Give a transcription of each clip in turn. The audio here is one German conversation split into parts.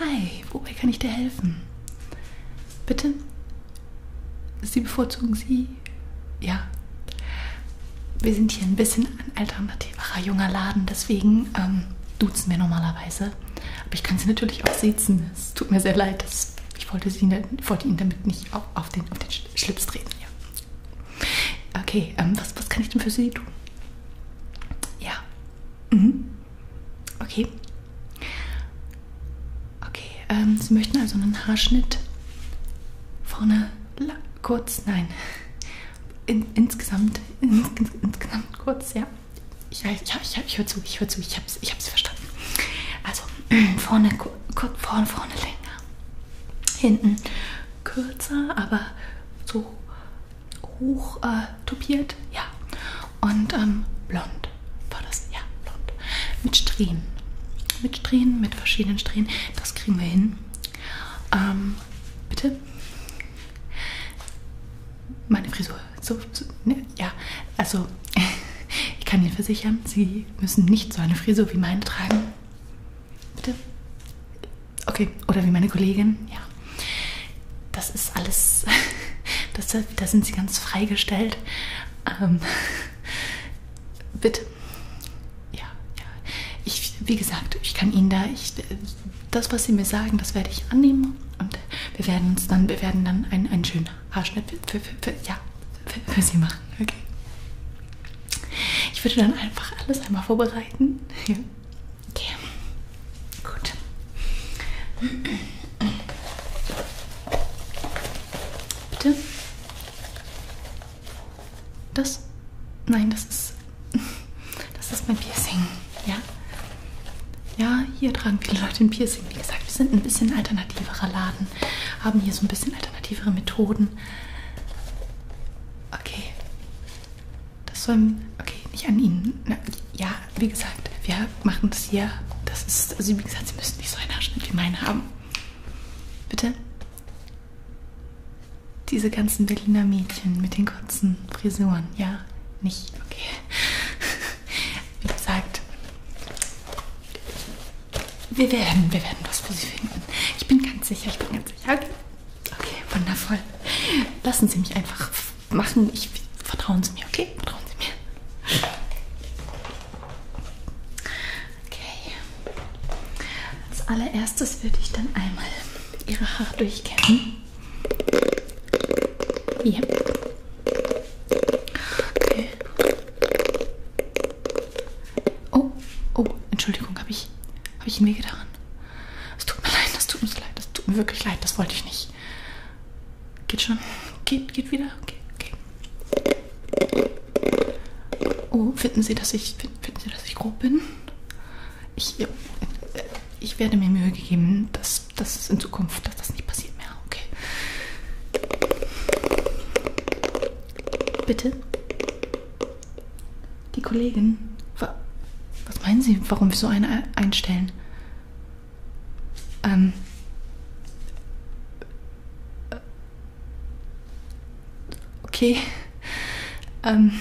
Hi, wobei kann ich dir helfen? Bitte? Sie bevorzugen Sie? Ja. Wir sind hier ein bisschen ein alternativerer junger Laden, deswegen ähm, duzen wir normalerweise. Aber ich kann Sie natürlich auch siezen. Es tut mir sehr leid, dass ich wollte, Sie, wollte Ihnen damit nicht auf, auf, den, auf den Schlips treten. Ja. Okay, ähm, was, was kann ich denn für Sie tun? Ja. Mhm. Okay. Okay, ähm, Sie möchten also einen Haarschnitt vorne lang, kurz, nein, In, insgesamt, in, in, insgesamt kurz, ja. Ich, ich, ich, ich höre zu, ich höre zu, ich habe es ich hab's verstanden. Also vorne, kur, kur, vorne, vorne länger, hinten kürzer, aber so hoch äh, topiert, ja. Und ähm, blond war das, ja, blond. Mit Strähnen. Mit Strähnen, mit verschiedenen Strähnen. Das kriegen wir hin. Ähm, bitte? Meine Frisur. So, so ne? Ja, also ich kann Ihnen versichern, Sie müssen nicht so eine Frisur wie meine tragen. Bitte? Okay, oder wie meine Kollegin, ja. Das ist alles, das, da sind sie ganz freigestellt. Ähm, bitte. Ja, ja. Ich, wie gesagt, ich kann Ihnen da, ich, das, was Sie mir sagen, das werde ich annehmen und wir werden uns dann, wir werden dann einen, einen schönen Haarschnitt für, für, für, ja, für, für Sie machen, okay? Ich würde dann einfach alles einmal vorbereiten. Ja. Okay, gut. Bitte? Das? Nein, das ist. Das ist mein Piercing, ja? Ja, hier tragen viele Leute ein Piercing. Wie gesagt, wir sind ein bisschen alternativerer Laden. Haben hier so ein bisschen alternativere Methoden. Okay. Das soll, okay, nicht an Ihnen. Na, ja, wie gesagt, wir machen das hier. Das ist, also wie gesagt, Sie müssen nicht so einen Haarschnitt wie meinen haben. Bitte? Diese ganzen Berliner Mädchen mit den kurzen Frisuren, ja? Nicht, okay. Wie gesagt, wir werden, wir werden was für Sie finden. Ich bin ganz sicher, ich bin ganz sicher. Okay. Okay, wundervoll. Lassen Sie mich einfach machen. Ich, vertrauen Sie mir, okay? Vertrauen Sie mir. Okay. Als allererstes würde ich dann einmal Ihre Haare durchkämmen. Ja. Okay. Oh, oh, Entschuldigung, habe ich, hab ich ihn wehgetan? Es tut mir leid, das tut mir leid, das tut mir wirklich leid, das wollte ich nicht. Geht schon? Geht, geht wieder? Okay, okay. Oh, finden Sie, dass ich, finden Sie, dass ich grob bin? Ich, äh, äh, ich werde mir Mühe gegeben, dass das in Zukunft, dass das nicht passiert mehr. Okay. Bitte? Die Kollegin? Was meinen Sie, warum wir so eine einstellen? Ähm. Äh, okay. Ähm.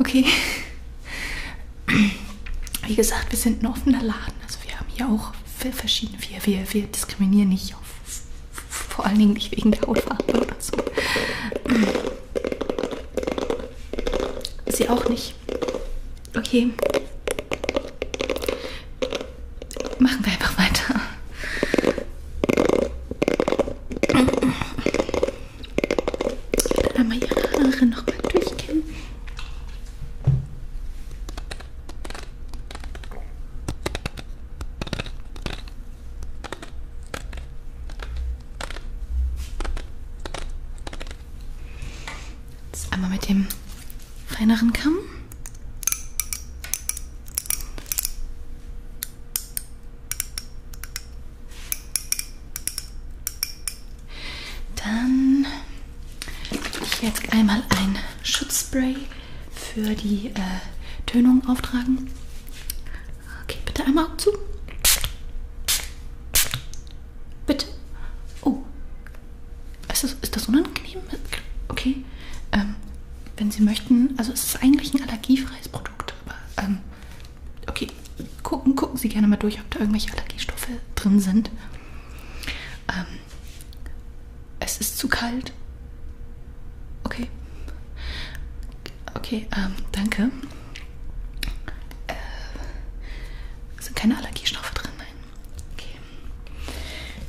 Okay. Wie gesagt, wir sind ein offener Laden. Also wir haben hier auch verschiedene. Wir, wir, wir diskriminieren nicht auf vor allen Dingen nicht wegen der Hautfarbe oder so. Sie auch nicht. Okay. Machen wir einfach weiter. Ich will einmal ihre Haare nochmal durchgehen. Jetzt einmal mit dem feineren Kamm. Dann ich jetzt einmal ein Schutzspray für die äh, Tönung auftragen. Okay, bitte einmal Augen zu. Bitte. Oh. Ist das, ist das unangenehm? Okay. Ähm, wenn Sie möchten, also es ist eigentlich ein allergiefreies Produkt, aber ähm, okay, gucken, gucken Sie gerne mal durch, ob da irgendwelche Allergiestoffe drin sind. Ähm, es ist zu kalt. Okay. Okay, ähm, danke. Äh, sind keine Allergiestoffe drin, nein. Okay.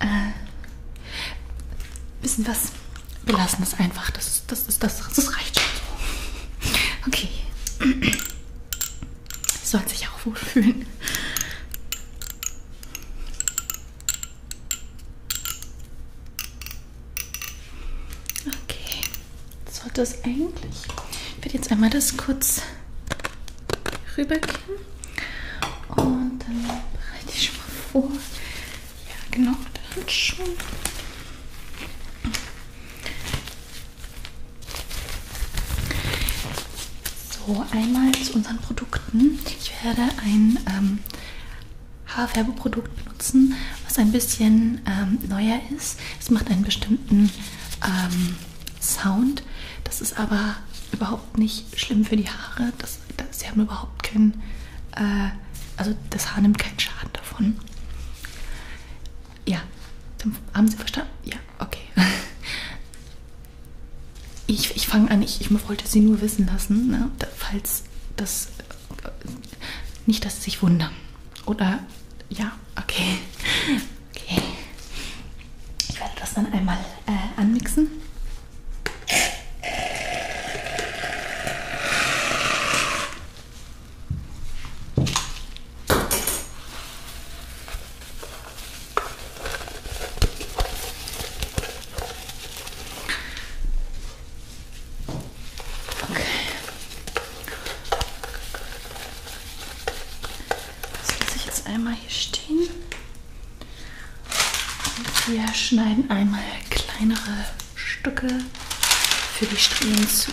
Äh, wissen was? Wir lassen es einfach. Das, das, das, das, das reicht schon so. Okay. Sie sollen sich auch wohlfühlen. Okay, sollte es eigentlich. Ich werde jetzt einmal das kurz rübergehen und dann bereite ich schon mal vor. Ja, genau, dann schon. So, einmal zu unseren Produkten. Ich werde ein ähm, Haarfärbeprodukt benutzen, was ein bisschen ähm, neuer ist. Es macht einen bestimmten ähm, Sound. Das ist aber überhaupt nicht schlimm für die Haare. Das, das, sie haben überhaupt keinen, äh, also das Haar nimmt keinen Schaden davon. Ja, haben Sie verstanden? Ja, okay. Ich, ich fange an, ich, ich wollte sie nur wissen lassen, ne? falls das nicht, dass sie sich wundern. Oder ja, okay. okay. Ich werde das dann einmal äh, anmixen. Okay. Das lasse ich jetzt einmal hier stehen. Und wir schneiden einmal kleinere Stücke für die Strähnen zu.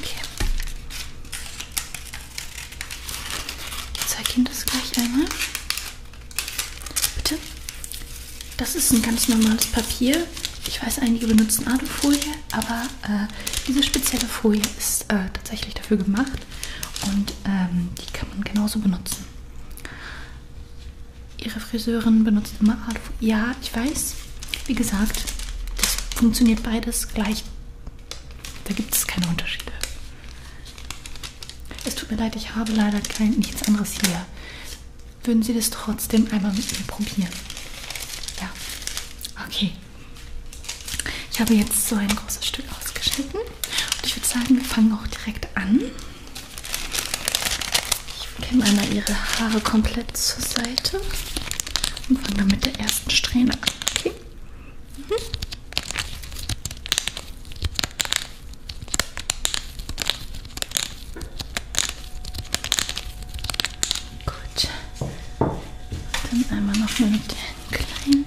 Okay. Ich zeige Ihnen das gleich einmal. Bitte. Das ist ein ganz normales Papier. Ich weiß, einige benutzen Alufolie, aber äh, diese spezielle Folie ist äh, tatsächlich dafür gemacht und ähm, die kann man genauso benutzen. Ihre Friseurin benutzt immer Art. Ja, ich weiß. Wie gesagt, das funktioniert beides gleich. Da gibt es keine Unterschiede. Es tut mir leid, ich habe leider kein, nichts anderes hier. Würden Sie das trotzdem einmal mit mir probieren? Ja. Okay. Ich habe jetzt so ein großes Stück ausgeschnitten. Und ich würde sagen, wir fangen auch direkt an. Ich nehme einmal Ihre Haare komplett zur Seite und fange dann mit der ersten Strähne an. Okay? Mhm. Gut. Dann einmal nochmal mit den kleinen.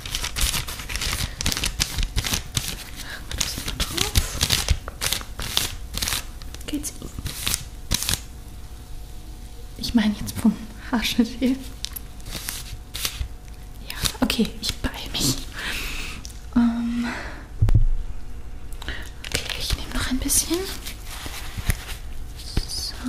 Machen wir das mal drauf. Geht's Ihnen? Ich meine jetzt vom Haarschnitt her. Ja, okay, ich beeile mich. Ähm okay, ich nehme noch ein bisschen. So.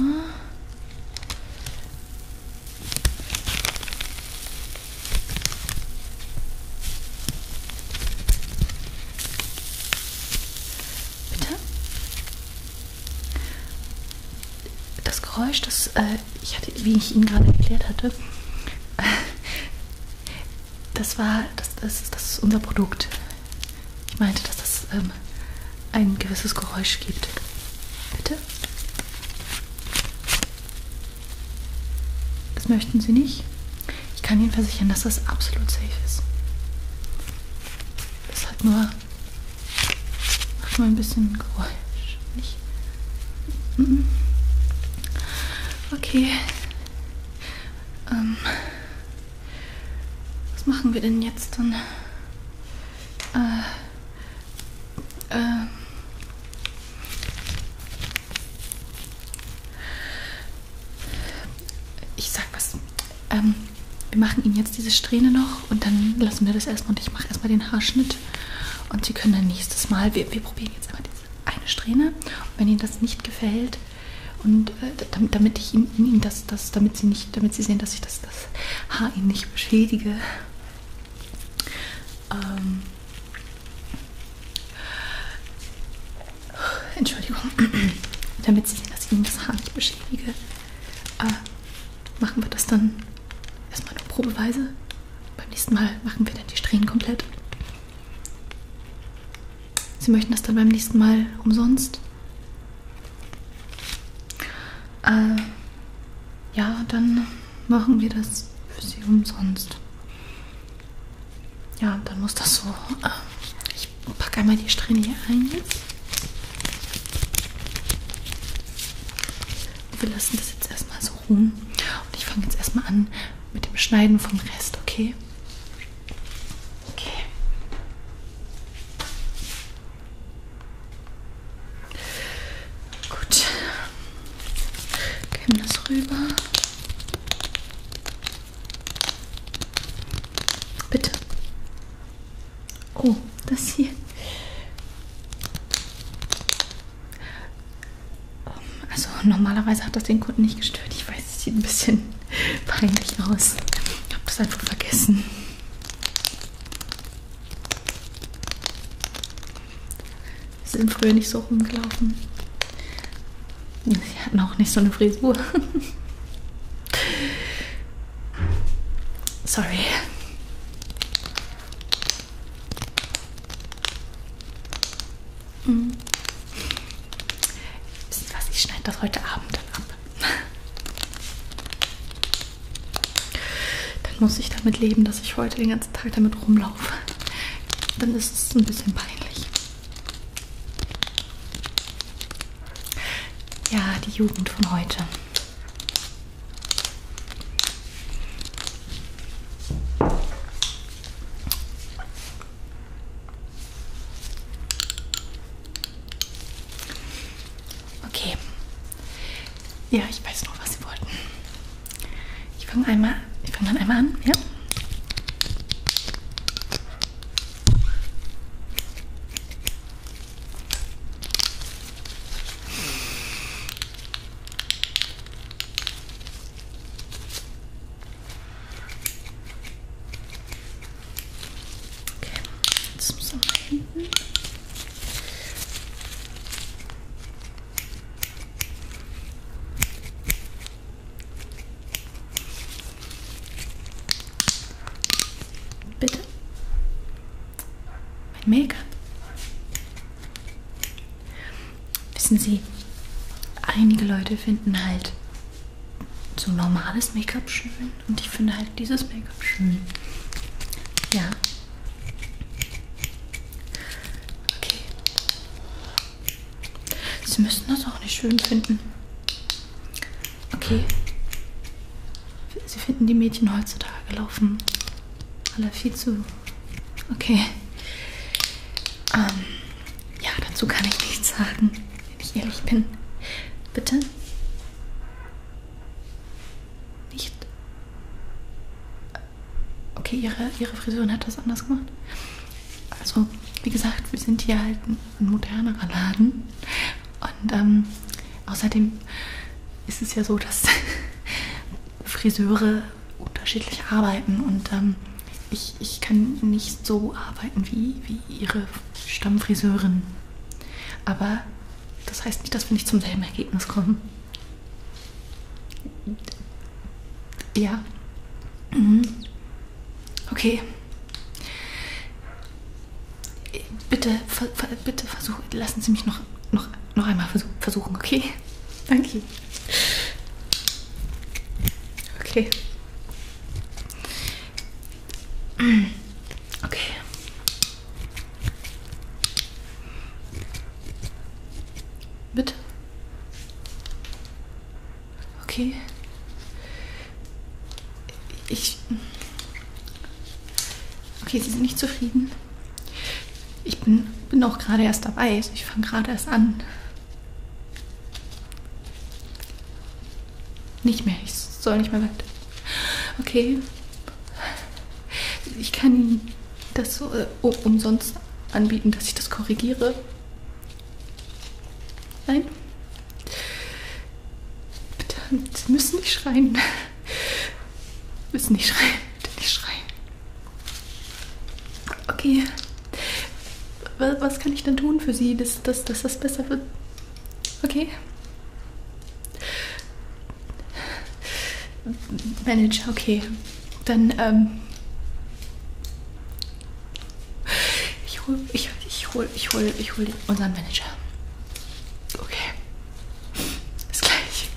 Bitte? Das Geräusch, das äh, ich hatte, wie ich Ihnen gerade erklärt hatte, äh, das war, das, das, das ist unser Produkt. Ich meinte, dass das ähm, ein gewisses Geräusch gibt. Bitte? Das möchten Sie nicht? Ich kann Ihnen versichern, dass das absolut safe ist. Das hat nur. macht nur ein bisschen Geräusch. Nicht? Mhm. Okay. Ähm, was machen wir denn jetzt dann? Äh, ähm. Ich sag was. Ähm, wir machen Ihnen jetzt diese Strähne noch und dann lassen wir das erstmal. Und ich mache erstmal den Haarschnitt. Und Sie können dann nächstes Mal, wir, wir probieren jetzt einmal diese eine Strähne. Und wenn Ihnen das nicht gefällt, und äh, damit, damit ich Ihnen, Ihnen das, das, damit Sie nicht, damit Sie sehen, dass ich das das Haar ihn nicht beschädige. Ähm Entschuldigung, damit sie sehen, dass ich ihnen das Haar nicht beschädige, äh, machen wir das dann erstmal nur probeweise. Beim nächsten Mal machen wir dann die Strähnen komplett. Sie möchten das dann beim nächsten Mal umsonst? Äh, ja, dann machen wir das für sie umsonst. Ja, dann muss das so. Äh, ich packe einmal die Strähne hier ein jetzt. Wir lassen das jetzt erstmal so ruhen. Und ich fange jetzt erstmal an mit dem Schneiden vom Rest, okay? Okay. Gut. Geben das rüber. Bitte. Oh, das hier. Also normalerweise hat das den Kunden nicht gestört. Ich weiß, es sieht ein bisschen peinlich aus. Ich habe das einfach vergessen. Sie sind früher nicht so rumgelaufen. Sie hatten auch nicht so eine Frisur. Sorry. Hm. Wisst ihr was? Ich schneide das heute Abend dann ab. Dann muss ich damit leben, dass ich heute den ganzen Tag damit rumlaufe. Dann ist es ein bisschen peinlich. Ja, die Jugend von heute. Okay. Ja, ich weiß noch, was Sie wollten. Ich fange einmal, ich fange dann einmal an, ja? Okay, jetzt muss er nach hinten. Bitte? Mein Make-up. Wissen Sie, einige Leute finden halt so normales Make-up schön und ich finde halt dieses Make-up schön. Ja. Okay. Sie müssen das auch nicht schön finden. Okay. Sie finden die Mädchen heutzutage laufen alle viel zu. Okay. Ähm, ja, dazu kann ich nichts sagen wenn ich ehrlich bin. Bitte? Nicht? Okay, ihre, ihre Friseurin hat das anders gemacht. Also, wie gesagt, wir sind hier halt ein modernerer Laden. Und ähm, außerdem ist es ja so, dass Friseure unterschiedlich arbeiten und ähm, ich, ich kann nicht so arbeiten wie, wie ihre Stammfriseurin. Aber das heißt nicht, dass wir nicht zum selben Ergebnis kommen. Ja. Mhm. Okay. Bitte, ver, ver, bitte versuchen. Lassen Sie mich noch, noch, noch einmal versuchen, okay? Danke. Okay. Okay. Bitte. Okay. Ich. Okay, Sie sind nicht zufrieden. Ich bin, bin auch gerade erst dabei. Also ich fange gerade erst an. Nicht mehr, ich soll nicht mehr weiter. Okay. Ich kann Ihnen das so, äh, umsonst anbieten, dass ich das korrigiere. Nein? Bitte, Sie müssen nicht schreien. Sie müssen nicht schreien. Bitte nicht schreien. Okay. Was kann ich denn tun für Sie, dass, dass, dass das besser wird? Okay. Manager, okay. Dann, ähm. Ich hol, ich, ich hol, ich hol, ich hol unseren Manager. Okay. Bis gleich.